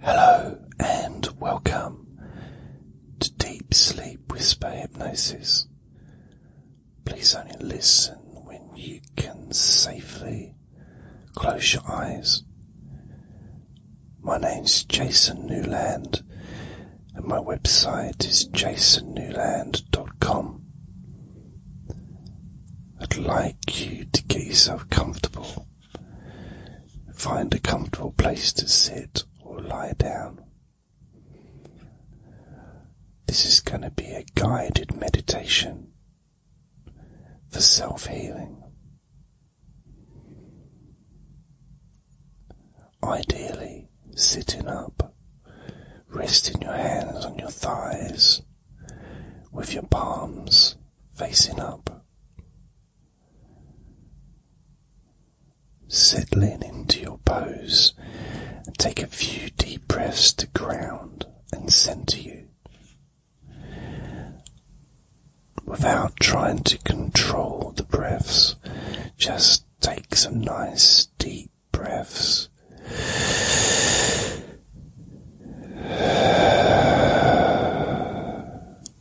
Hello and welcome to Deep Sleep Whisper Hypnosis. Please only listen when you can safely close your eyes. My name's Jason Newland and my website is jasonnewland.com. I'd like you to get yourself comfortable Find a comfortable place to sit or lie down. This is going to be a guided meditation for self healing. Ideally, sitting up, resting your hands on your thighs with your palms facing up. Settling into your pose and take a few deep breaths to ground and center you without trying to control the breaths. Just take some nice deep breaths.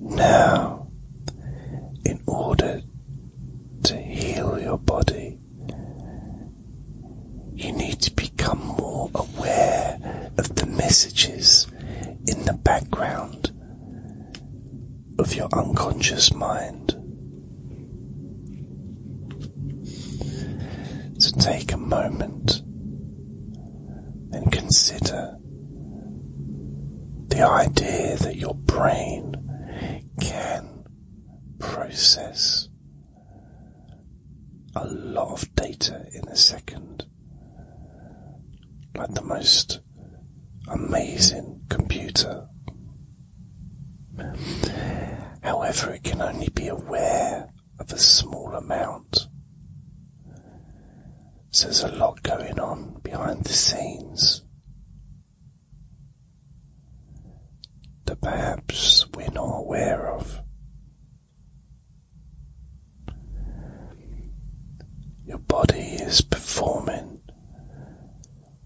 Now, in order to heal your body, you need to become more aware of the messages in the background of your unconscious mind. To take a moment and consider the idea that your brain can process a lot of data in a second, like the most amazing computer. However, it can only be aware of a small amount. So there's a lot going on behind the scenes that perhaps we're not aware of. Your body is performing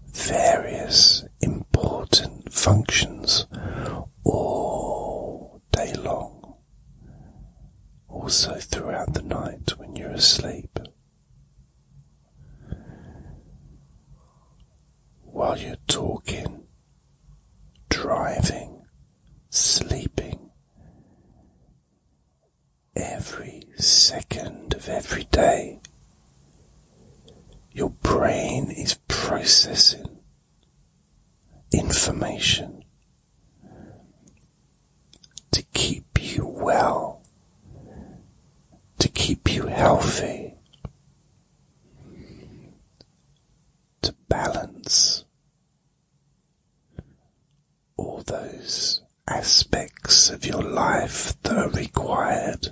various important functions all day long, also throughout the night when you're asleep. While you're talking, driving, sleeping, every second of every day, your brain is processing information to keep you well, to keep you healthy, to balance all those aspects of your life that are required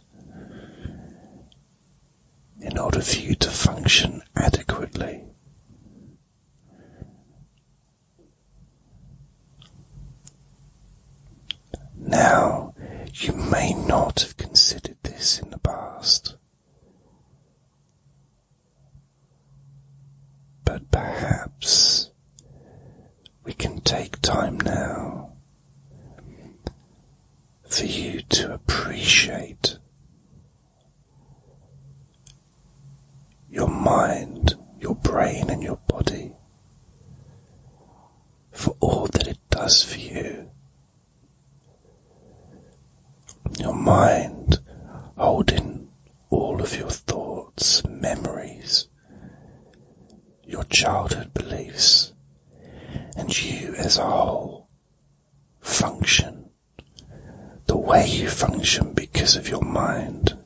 in order for you to function adequately. Now, you may not have considered this in the past, but perhaps we can take time now for you to appreciate your mind, your brain, and your body for all that it does for you. Your mind holding all of your thoughts, memories, your childhood beliefs, and you as a whole function the way you function because of your mind.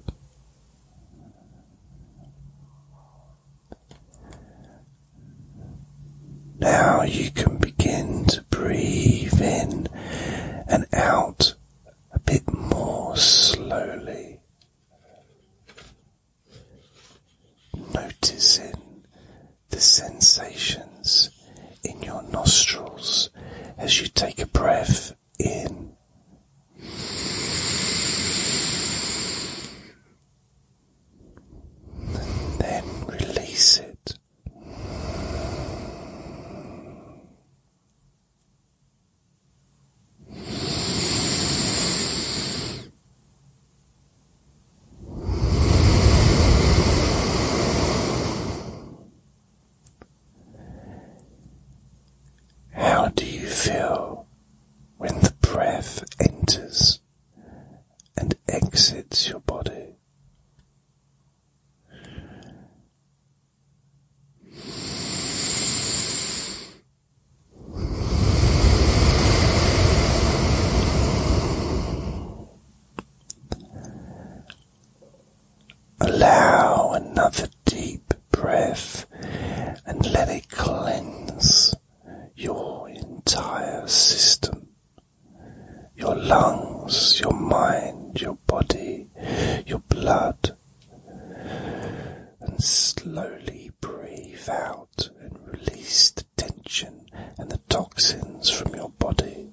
Now you can begin to breathe in and out a bit more slowly. Noticing the sensations in your nostrils as you take a breath in. then release it. How do you feel when the breath enters and exits your body? Allow another deep breath and let it cleanse your entire system. Your lungs, your mind, your body, your blood. And slowly breathe out and release the tension and the toxins from your body.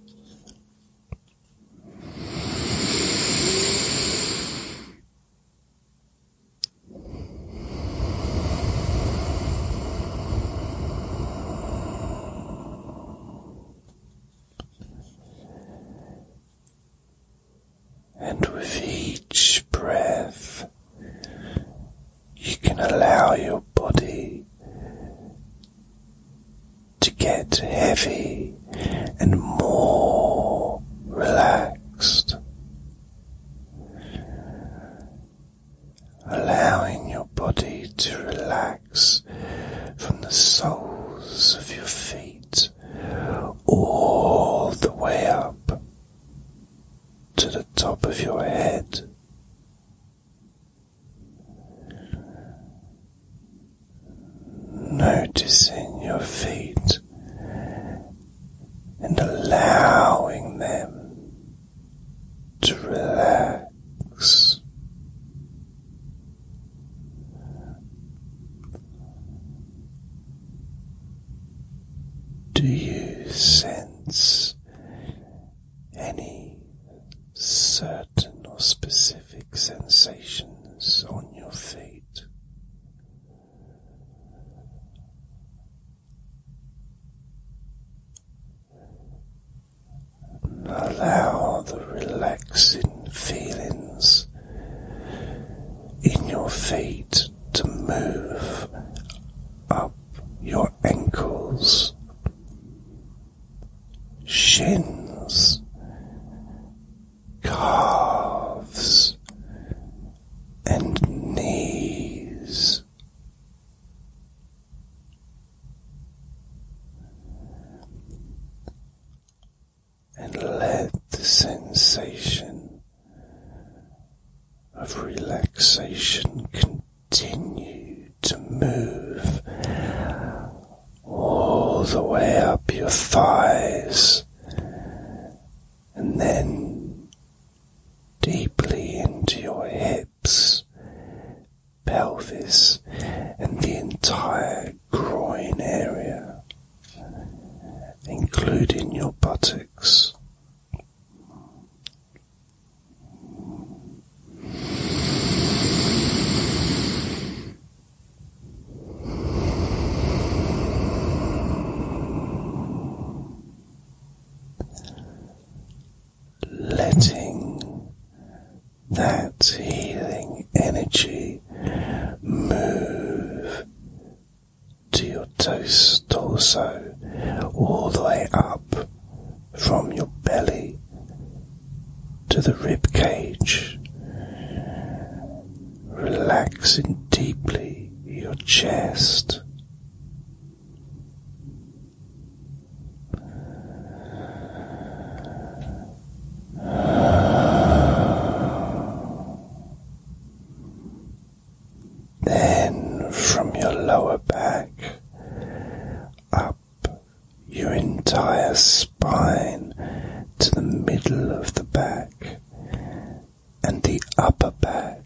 And with each breath, you can allow your body to get heavy and more relaxed, allowing your body to relax from the soles of your feet all the way up to the top of your head. Noticing your feet and allowing them to relax. Do you sense any certain or specific sensations on your feet? allow the relaxing feelings in your feet to move up your ankles, shins, calves and knees. And let the sensation of relaxation continue to move all the way up your thighs and then deeply into your hips, pelvis, and the entire groin area, including your buttocks. Letting that healing energy move to your torso, all the way up from your belly to the rib cage, relaxing deeply your chest. Then from your lower back up your entire spine to the middle of the back and the upper back.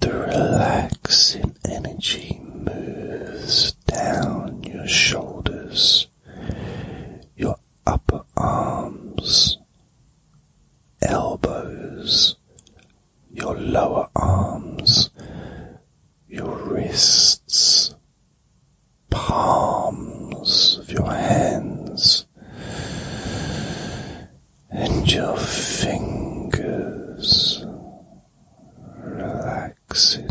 The relaxing energy moves down your shoulders, your upper arms, elbows, your lower arms, your wrists, palms of your hands, and your fingers relaxing.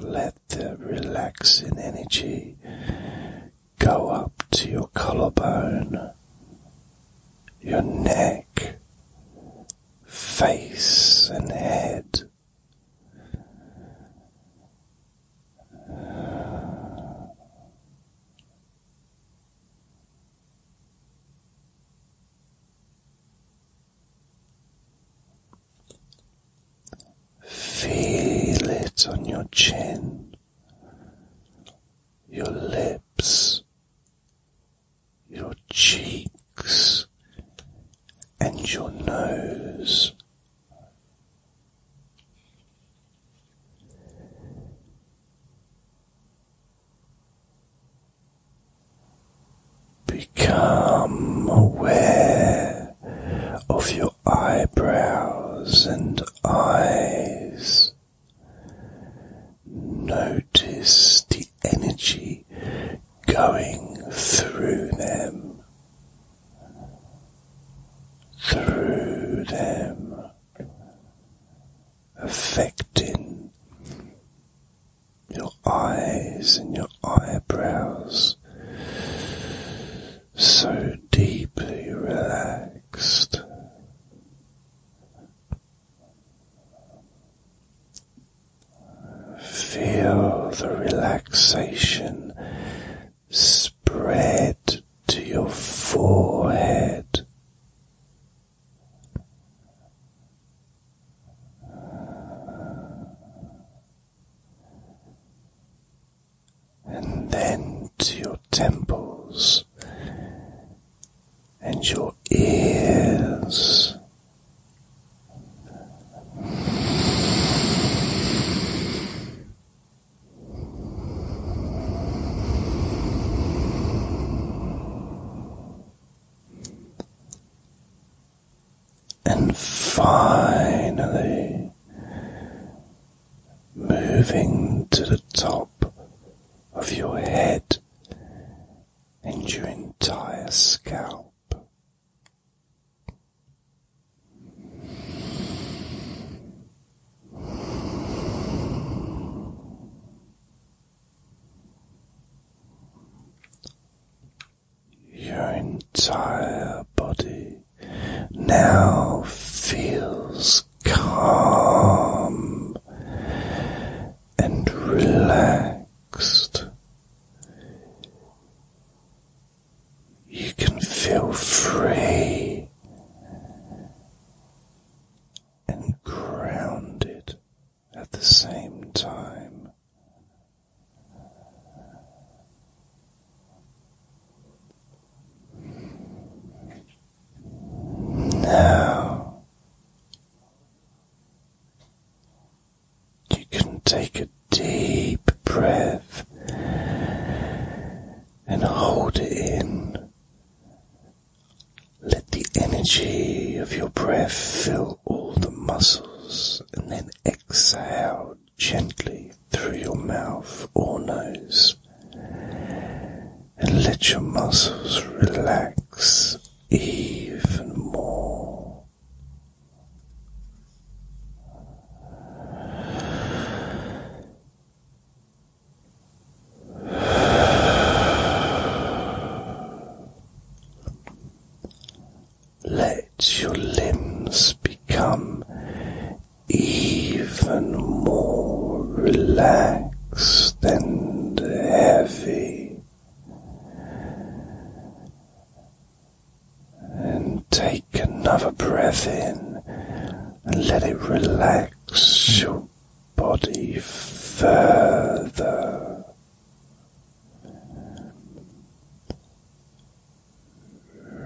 Let the relaxing energy go up to your collarbone, your neck, face, and head. Feel it on your chin, your lips, your cheeks, and your nose. Become aware of your eyebrows and eyes. Notice the energy going through them, through them, affecting your eyes and your eyebrows so deeply relaxed. Feel the relaxation spread to your forehead, and then to your temples and your ears. And finally, moving to the top of your head and your entire scalp. Your entire body now feels calm and relaxed. You can feel free and grounded at the same time. Now you can take a deep breath and hold it in let the energy of your breath fill all the muscles and then exhale gently through your mouth or nose. And let your muscles relax even more. Let your limbs become even more relaxed and heavy, and take another breath in and let it relax your body further.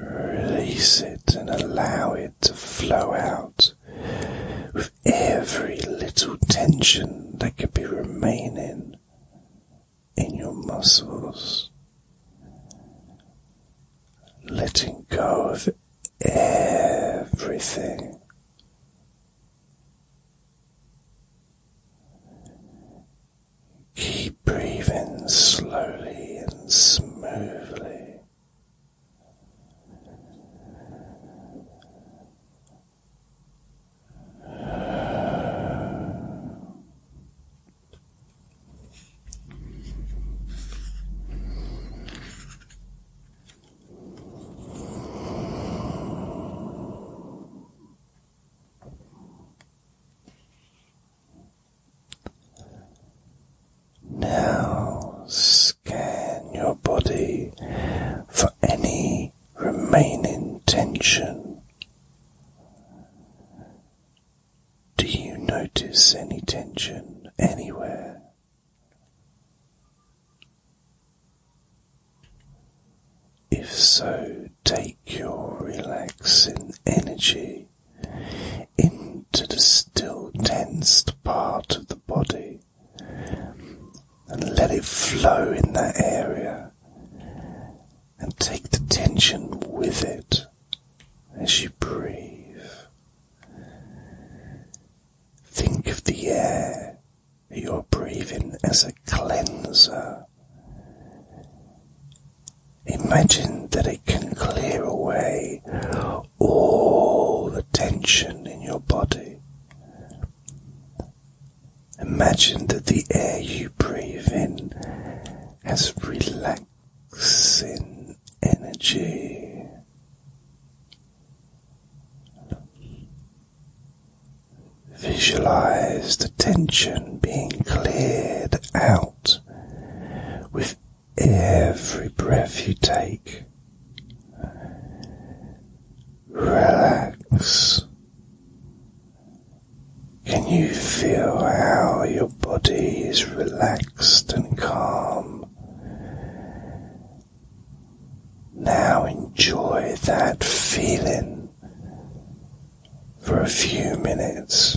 Release it and allow it to flow out with every little tension that could be remaining in your muscles. Letting go of everything Keep breathing slowly and smoothly. Now scan your body for any remaining tension. Do you notice any tension anywhere? If so, take your relaxing energy into the still tensed part of the body and let it flow in that area and take the tension with it as you breathe. Think of the air you're breathing as a cleanser. Imagine that it can clear away all the tension in your body. Imagine that the air you breathe in has relaxing energy. Visualize the tension being cleared out with every breath you take. Relax. Can you feel how your body is relaxed and calm now enjoy that feeling for a few minutes.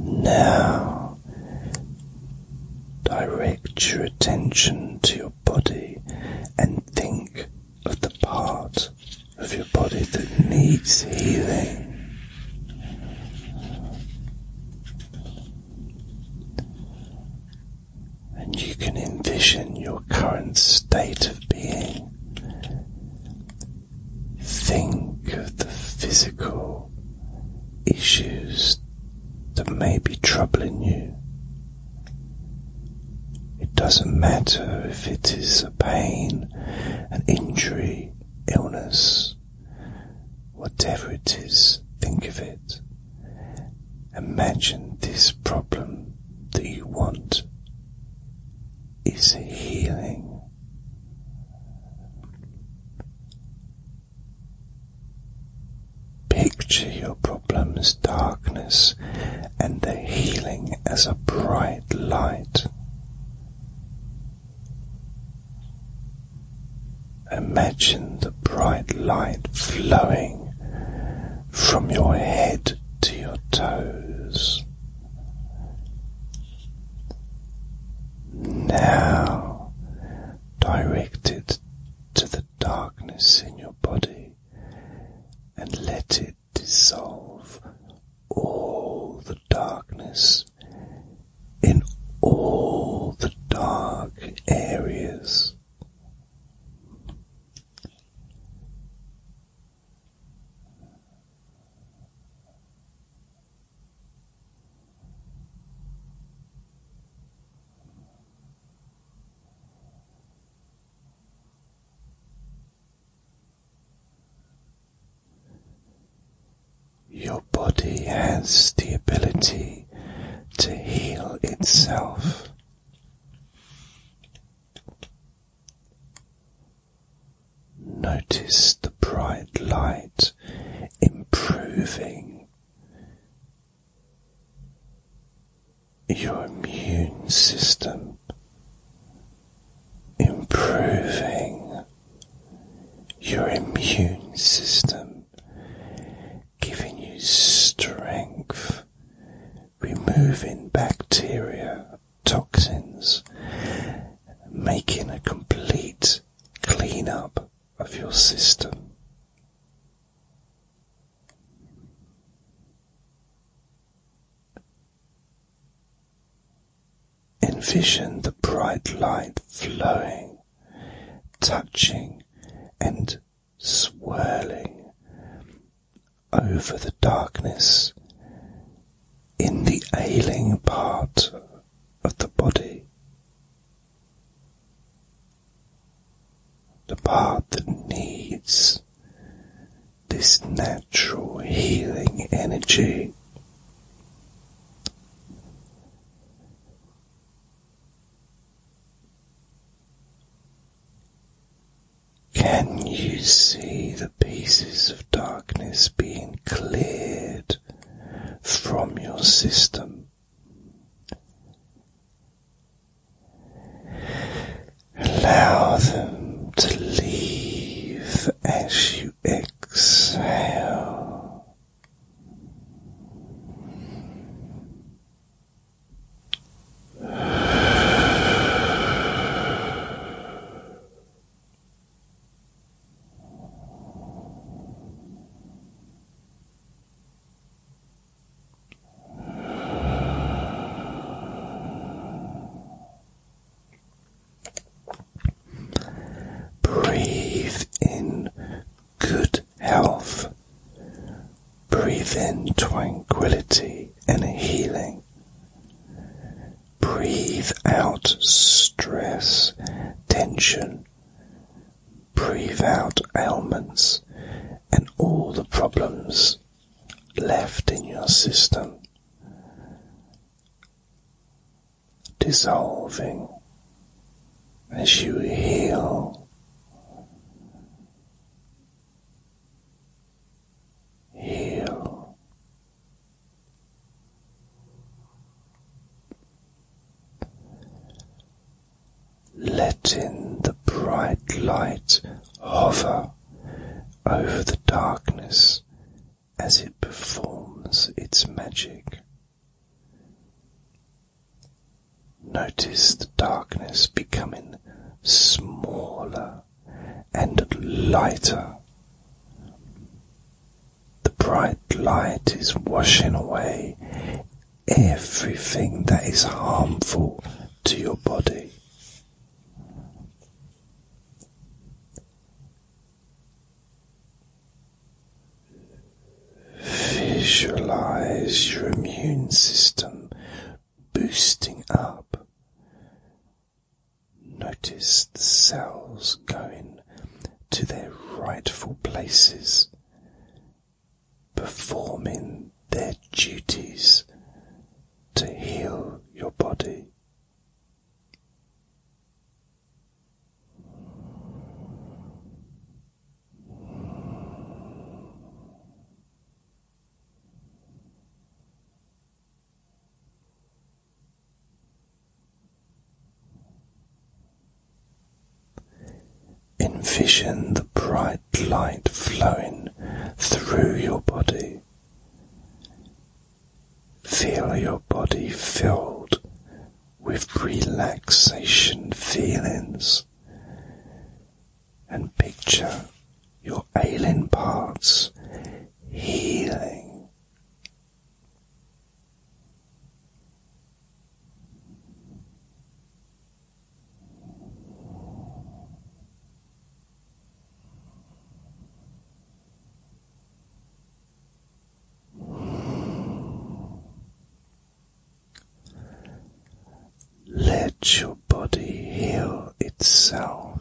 Now, direct your attention to your body and think of the part of your body that needs healing. And you can envision your current state of being Think of the physical issues that may be troubling you. It doesn't matter if it is a pain, an injury, illness, whatever it is, think of it. Imagine this problem that you want is healing. Picture your problem's darkness and the healing as a bright light. Imagine the bright light flowing from your head to your toes. Now direct it to the darkness in your body and let it dissolve all the darkness in all the dark areas. Your body has the ability to heal itself. Notice the bright light improving your immune system, improving your immune system, giving you strength removing bacteria, toxins, making a complete clean up of your system. Envision the bright light flowing, touching, and swirling over the darkness in the ailing part of the body, the part that needs this natural healing energy. Can you see the pieces of darkness being cleared from your system? Allow them to leave as you exhale. Breathe in good health. Breathe in tranquility and healing. Breathe out stress, tension. Breathe out ailments and all the problems left in your system. Dissolving as you heal. Heal Letting the bright light hover over the darkness as it performs its magic. Notice the darkness becoming smaller and lighter. The bright light is washing away everything that is harmful to your body. Visualize your immune system boosting up Notice the cells going to their rightful places, performing their duties to heal your body. Envision the bright light flowing through your body. Feel your body filled with relaxation feelings and picture your ailing parts healing. Let your body heal itself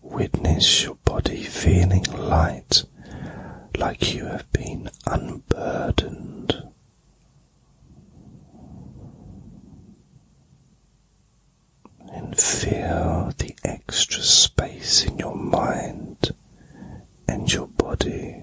Witness your body feeling light like you have been unburdened and feel the extra space in your mind and your body.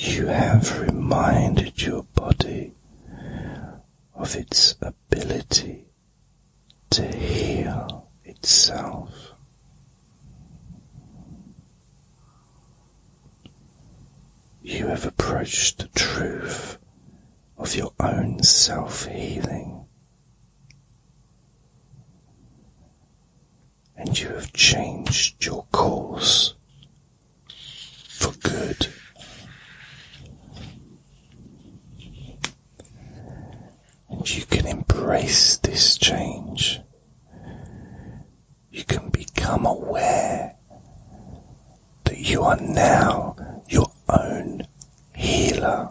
You have reminded your body of its ability to heal itself. You have approached the truth of your own self healing, and you have changed your course for good and you can embrace this change. You can become aware that you are now your own healer.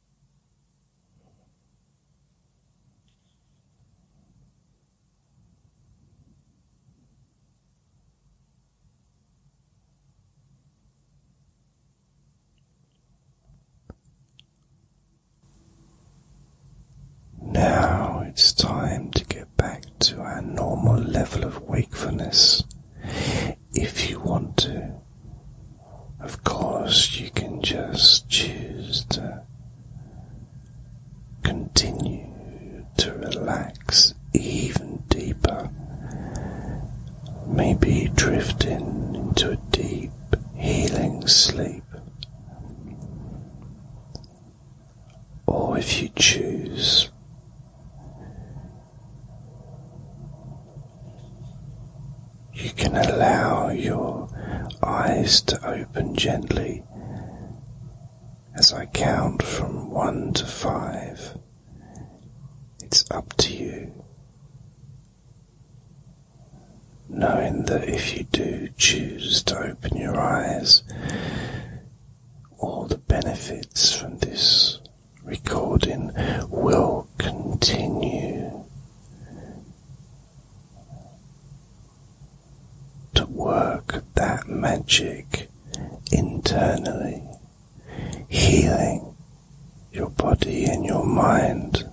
Now it's time to get back to our normal level of wakefulness. If you want to, of course, you can just choose to continue to relax even deeper, maybe drifting into a deep healing sleep. Or if you choose, you can allow your eyes to open gently as I count from one to five. It's up to you. Knowing that if you do choose to open your eyes, all the benefits from this recording will continue to work that magic internally, healing your body and your mind,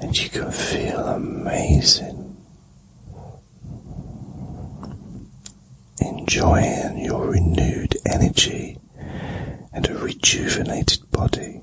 and you can feel amazing, enjoying your renewed energy and a rejuvenated body.